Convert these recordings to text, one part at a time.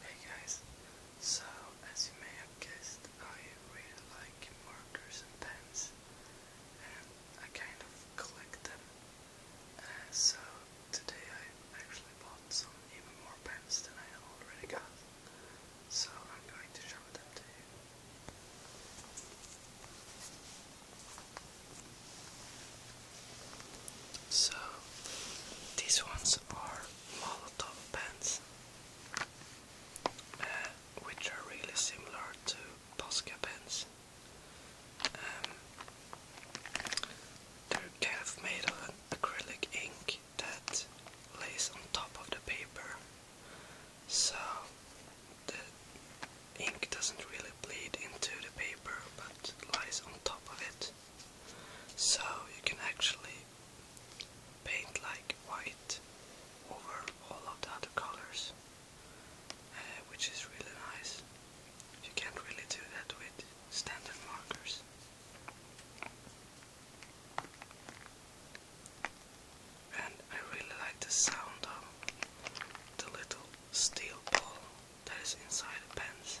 Hey guys, so as you may have guessed, I really like markers and pens, and I kind of collect them. Uh, so today I actually bought some even more pens than I already got, so I'm going to show them to you. So these ones are Molotov pens, uh, which are really similar to Posca pens. Um, they're kind of made of acrylic ink that lays on top of the paper, so the ink doesn't really bleed into the paper but lies on top of it. So you can actually paint like white over all of the other colors, uh, which is really nice. You can't really do that with standard markers. And I really like the sound of the little steel ball that is inside the pens.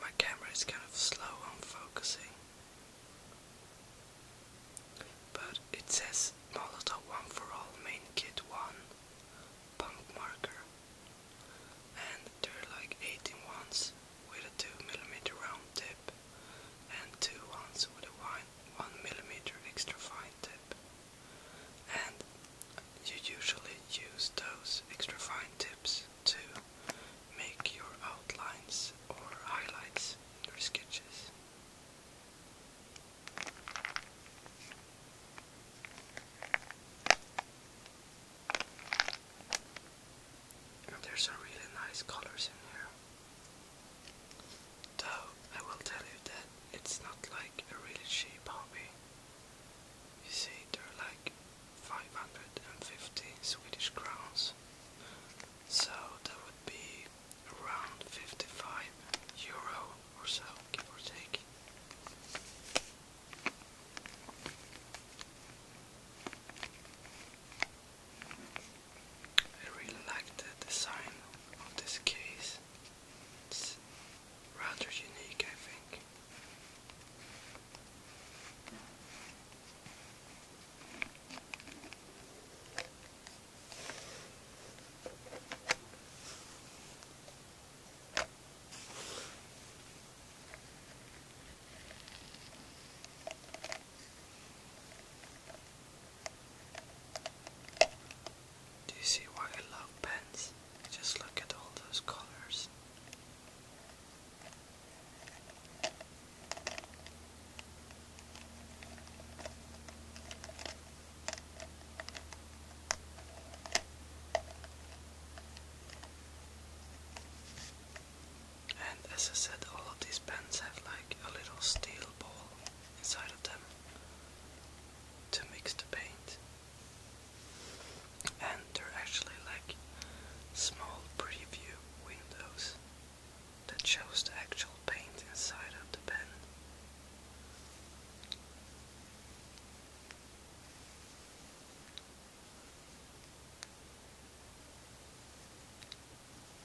My camera is kind of slow on focusing. But it says Molotov One for All Main Kit 1 Punk Marker and they're like 18 ones with a 2mm round tip and 2 ones with a 1mm extra fine tip. And you usually use those extra fine tips to make your outlines or highlights in your sketches there's some really nice colors in here. Though I will tell you that it's not like a really cheap hobby. You see, they're like 550 Swedish crowns. So that would be around 55 euro or so, give or take. I really like the design of this case. It's rather unique, I think. Do you see why I love pens? Just look at all those colors. And as I said, all of these pens have like a little steel ball inside of them to mix the paint. And they're actually like small preview windows that shows the actual paint inside of the pen.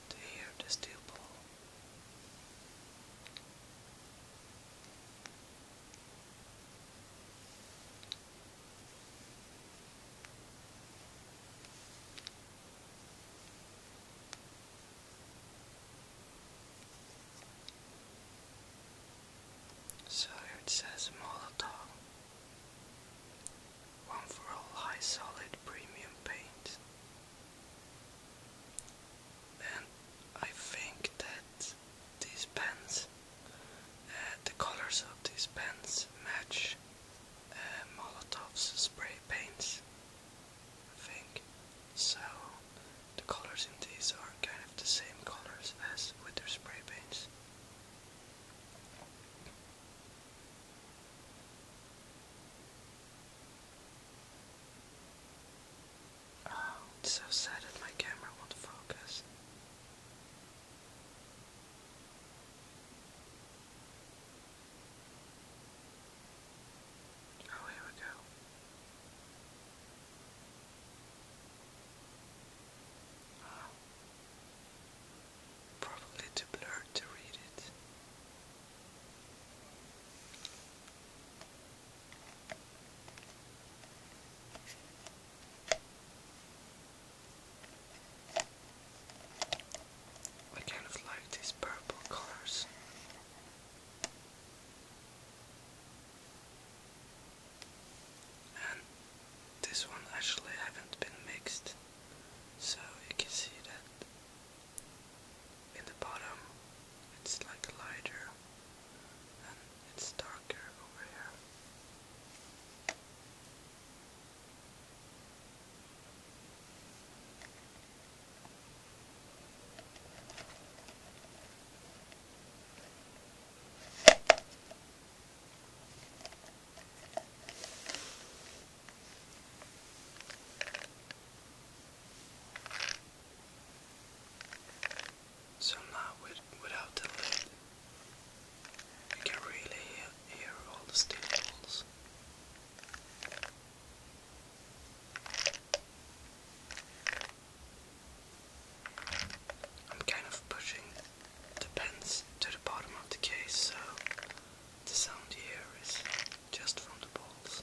Do you hear the steel ball? So here it says Molotov. One for all high solid premium paint. And I think that these pens, uh, the colors of these pens match uh, Molotov's spray paints. I think. So the colors in these are kind of the same colors as with their spray paints. Oh, so sad that my camera won't focus. Oh, here we go. Probably too blurred to read it. I kind of like these purple colors. And this one actually has not been mixed, so you can see that in the bottom it's like lighter and it's darker over here. So now, without the lid, you can really hear all the steam balls. I'm kind of pushing the pens to the bottom of the case, so the sound here is just from the balls.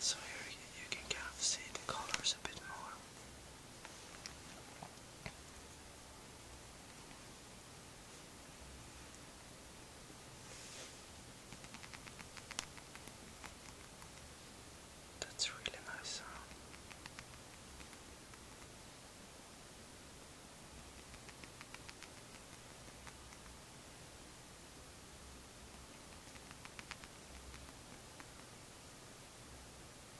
So here you, you can kind of see the colors a bit more. That's a really nice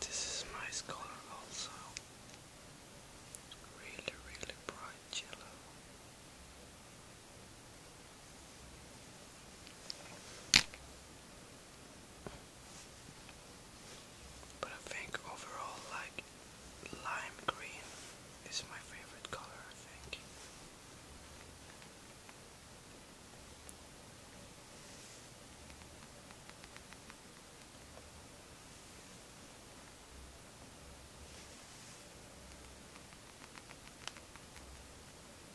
This is my color also. Really, really bright yellow. But I think overall, like lime green is my favorite color, I think.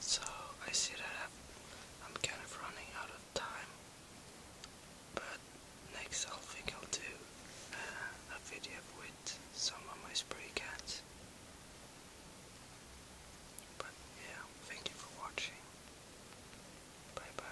So I see that I'm, kind of running out of time, but next I think I'll do uh, a video with some of my spray cans. But yeah, thank you for watching. Bye bye.